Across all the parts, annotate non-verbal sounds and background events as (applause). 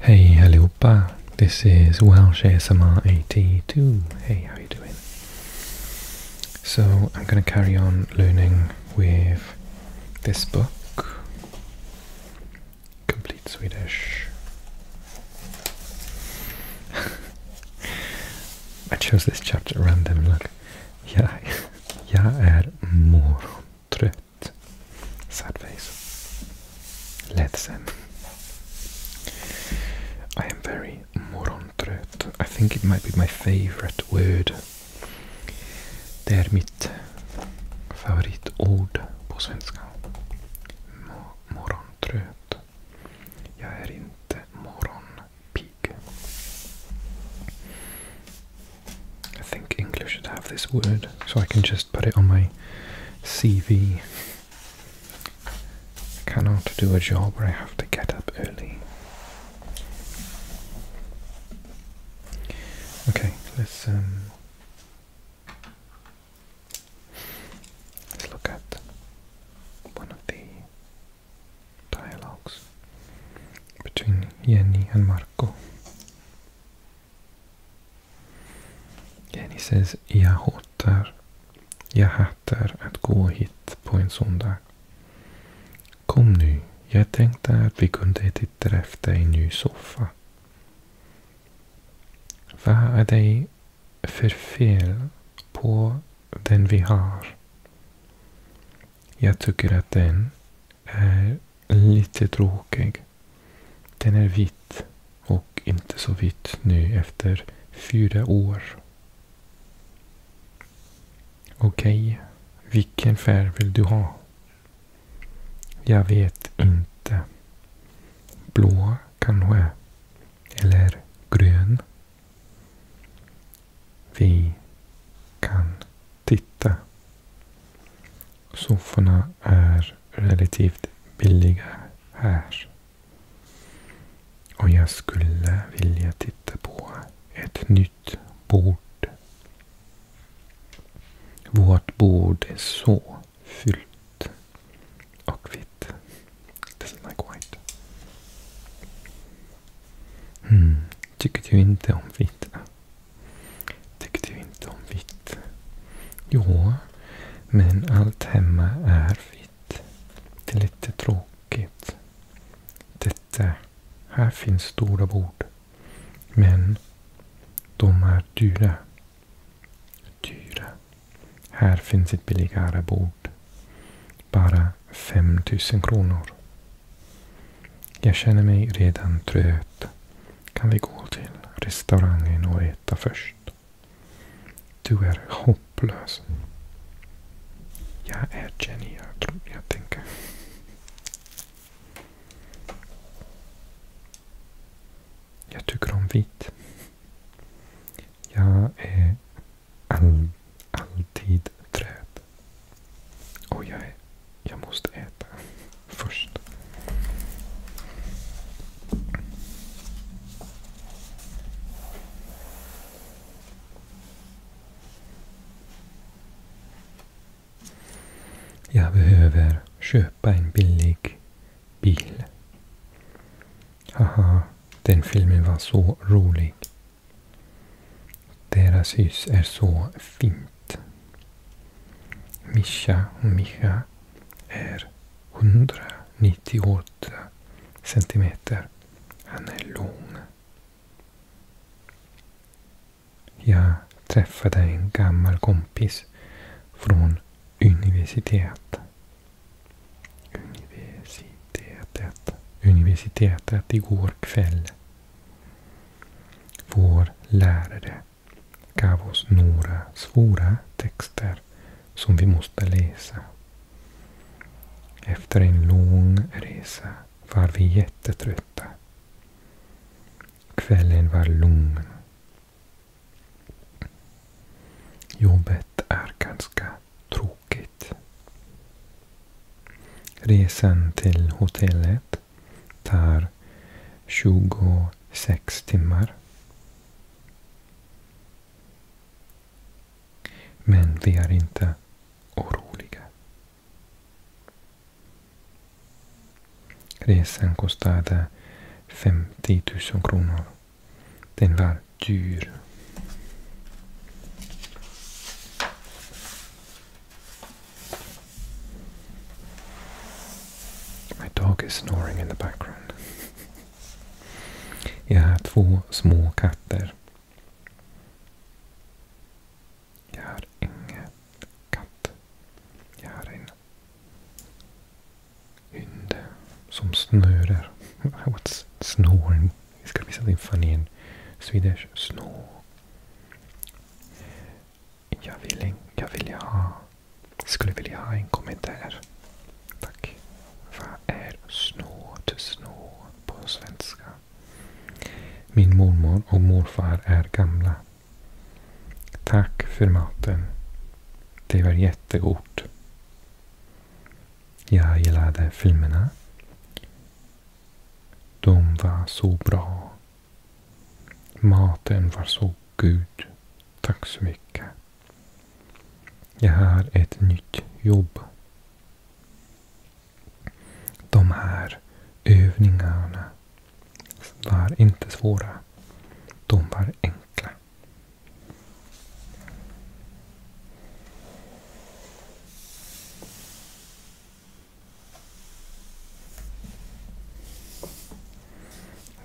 Hey allihopa, this is Welsh ASMR 82. Hey, how you doing? So I'm gonna carry on learning with this book, Complete Swedish. (laughs) I chose this chapter randomly. random, (laughs) Yeah, (laughs) yeah, er moron. Trött. Sad face. Ledsen. I am very morgontrött. I think it might be my favorite word. Det är mitt favoritord på svenska. Morgontrött. Jag är inte morgonpigg. I think English should have this word, so I can just put it on my CV. I cannot do a job where I have to get up early. Okay, let's um let's look at one of the dialogues between Jenny and Marco. Jenny says, jag hatar, jag hatar att gå hit på en söndag. Kom nu, jag tänkte att vi kunde titta efter en ny soffa. Vad är det för fel på den vi har? Jag tycker att den är lite tråkig. Den är vit och inte så vit nu efter fyra år. Okej, vilken färg vill du ha? Jag vet inte. Blå kanske? Eller grön? Vi kan titta. Sofforna är relativt billiga här. Och jag skulle vilja titta på ett nytt bord. Vårt bord är så fyllt och vitt. Det like white. Mm. Tycker du inte om vitt? Tycker du inte om vitt? Jo, men allt hemma är vitt. Det är lite tråkigt. Detta, här finns stora bord. Men de är dyra. Dyra. Här finns ett billigare bord. Bara 5000 kronor. Jag känner mig redan trött. Kan vi gå till restaurangen och äta först? Du är hopplös. Jag erkänner, jag, jag tänker. Jag tycker om vitt. Jag är all, alltid trött. Och jag, jag måste äta först. Jag behöver köpa en billig bil. Haha, den filmen var så rolig. Deras hus är så fint. Mischa och Micha är 198 centimeter. Han är lång. Jag träffade en gammal kompis från universitet. universitetet. Universitetet igår kväll. Vår lärare gav oss några svåra texter som vi måste läsa. Efter en lång resa var vi jättetrötta. Kvällen var lugn. Jobbet är ganska tråkigt. Resan till hotellet tar 26 timmar. Men vi är inte oroliga. Resan kostade 50 000 kronor. Den var dyr. My dog is snoring in the background. (laughs) Jag har två små katter. Jag har ingen katt. Jag har en hund som snörar. (laughs) What's snoring? It's gonna be something funny in Swedish. Snore. Jag, vill, jag vill ha, skulle vilja ha en kommentar. Tack. Vad är snå till på svenska? Min mormor och morfar är gamla. Tack för maten. Det var jättegott. Jag gillade filmerna. De var så bra. Maten var så god. Tack så mycket. Jag har ett nytt jobb. De här övningarna var inte svåra. De var enkla.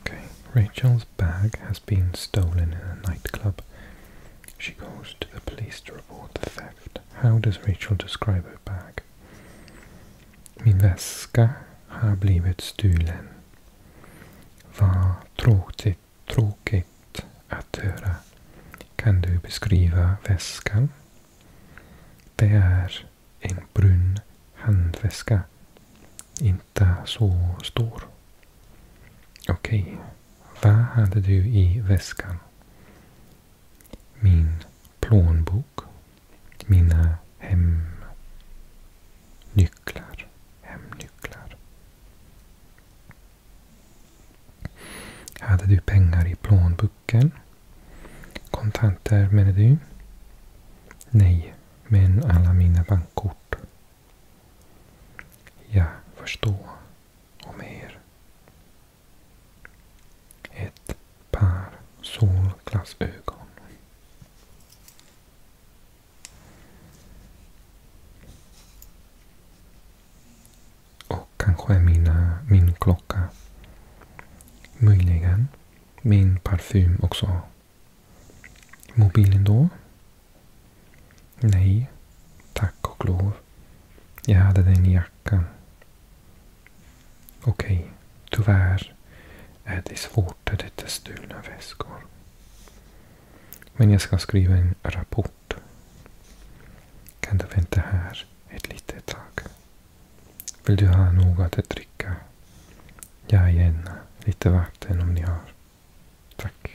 Okay, Rachel's bag has been stolen in a nightclub. She goes to the police to report the theft. How does Rachel describe her bag? Min väska har blivit stulen. Vad tråkigt, tråkigt. att höra. Kan du beskriva väskan? Det är en brun handväska. Inte så stor. Okej. Vad hade du i väskan? Min plånbok. Mina hemnycklar. Hemnycklar. Hade du pengar i plånboken? Kontanter menar du? Nej, men alla mina bankkort. Jag förstår. Och mer. Ett par solglasögon. Och kanske mina, min klocka. Möjligen min parfym också. Mobilen då? Nej, tack och lov. Jag hade den i jackan. Okej, tyvärr är det svårt att hitta stulna väskor. Men jag ska skriva en rapport bort. Kan du vänta här ett litet tag? Vill du ha något att dricka? Ja, gärna. Lite vatten om ni har. Tack.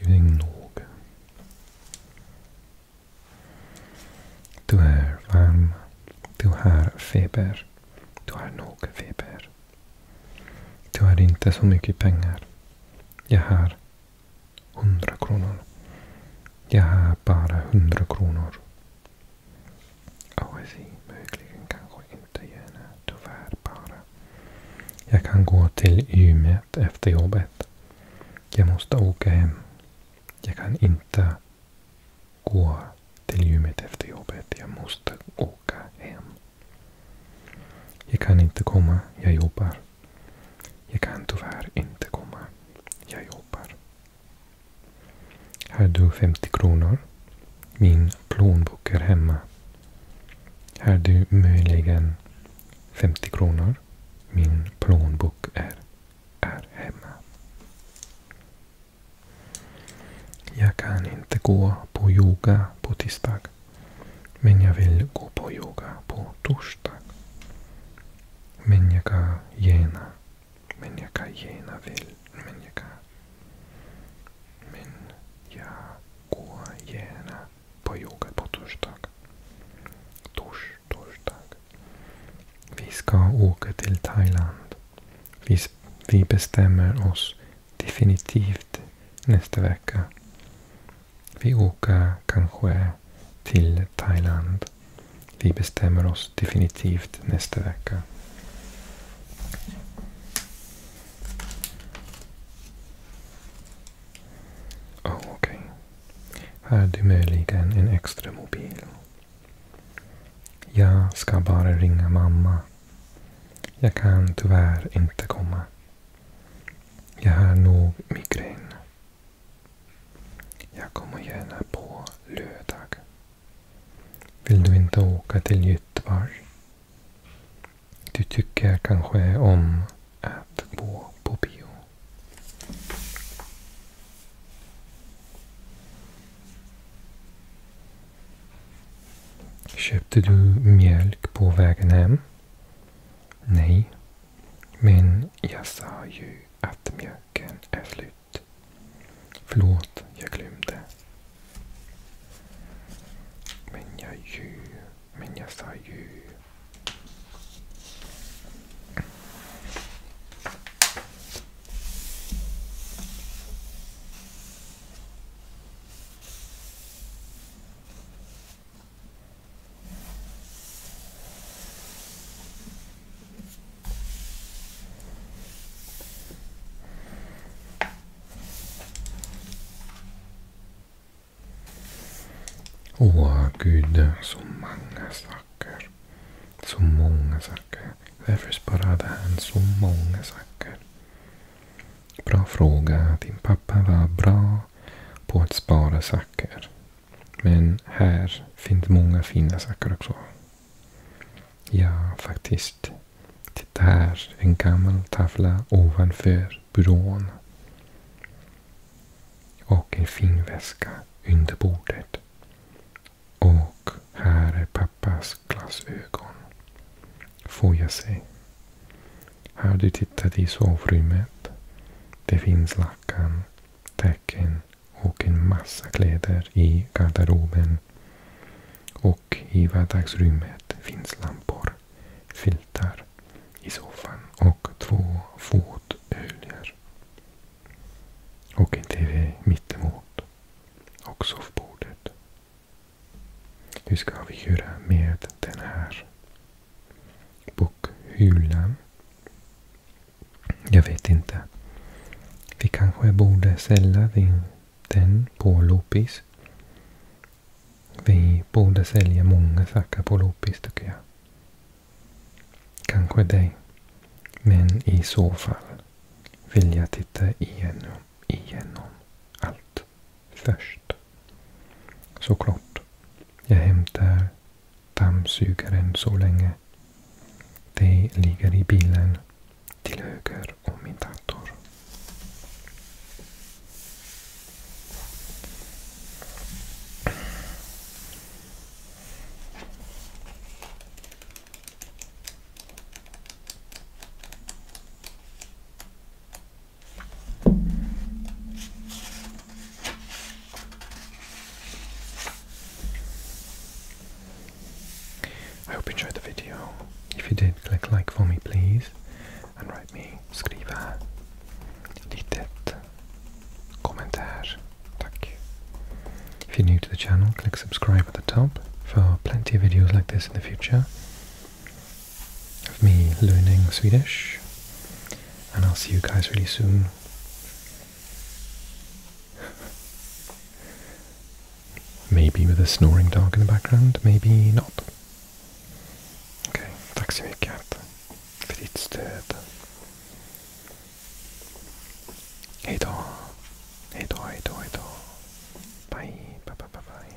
Using ah, nog. Du är varm. Du har feber. Du har nog feber. Du har inte så mycket pengar. Jag har hundra kronor. Jag har bara hundra kronor. Oasi möjligen kanske inte gärna tyvärr bara. Jag kan gå till gymmet efter jobbet. Jag måste åka hem. Jag kan inte gå till gymmet efter jobbet. Jag måste åka hem. Jag kan inte komma. Jag jobbar. Jag kan tyvärr inte komma. Jag jobbar. Här du 50 kronor. Min plånbok är hemma. Här du möjligen 50 kronor. Min plånbok är, är hemma. Jag kan inte gå på yoga på tisdag. Men jag vill gå på yoga på torsdag. Men jag kan gärna men jag kan gärna vill. Men jag kan... Men jag går gärna på yoga på torsdag. Tors, torsdag. Vi ska åka till Thailand. Vi, vi bestämmer oss definitivt nästa vecka. Vi åker kanske till Thailand vi bestämmer oss definitivt nästa vecka. Oh, Okej. Okay. Har du möjligen en extra mobil? Jag ska bara ringa mamma. Jag kan tyvärr inte komma. Jag har nog migrän. Jag kommer gärna på lördag. Vill du inte åka till Göteborg? Du tycker kanske om att gå på bio? Köpte du mjölk på vägen hem? Nej, men jag sa ju att mjölken är slut ut. Förlåt, jag glömde. Men jag ju, men jag sa ju. Åh gud, så många saker. Så många saker. Varför sparade han så många saker? Bra fråga. Din pappa var bra på att spara saker. Men här finns många fina saker också. Ja, faktiskt. Titta här, en gammal tavla ovanför byrån. Och en fin väska under bordet. Och här är pappas glasögon. Får jag se. Har du tittat i sovrummet? Det finns lakan, täcke säcken och en massa kläder i garderoben. Och i vardagsrummet finns lampor, filtar i soffan och två fotöljer. Och en TV mittemot. Och soffbordet. Hur ska vi göra med den här bokhyllan? Jag vet inte. Vi kanske borde sälja den på loppis. Vi borde sälja många saker på loppis tycker jag. Kanske dig. Men i så fall vill jag titta igenom, igenom allt först. Såklart. Jag hämtar dammsugaren så länge Det ligger i bilen till höger om min dator. I hope you enjoyed the video. If you did, click like for me please and write me skriva litet kommentar. Tack. If you're new to the channel, click subscribe at the top for plenty of videos like this in the future of me learning Swedish. And I'll see you guys really soon maybe with a snoring dog in the background, maybe not. okay, tack så mycket för ditt stöd. Hej då. Hej då, bye, bye, bye, bye.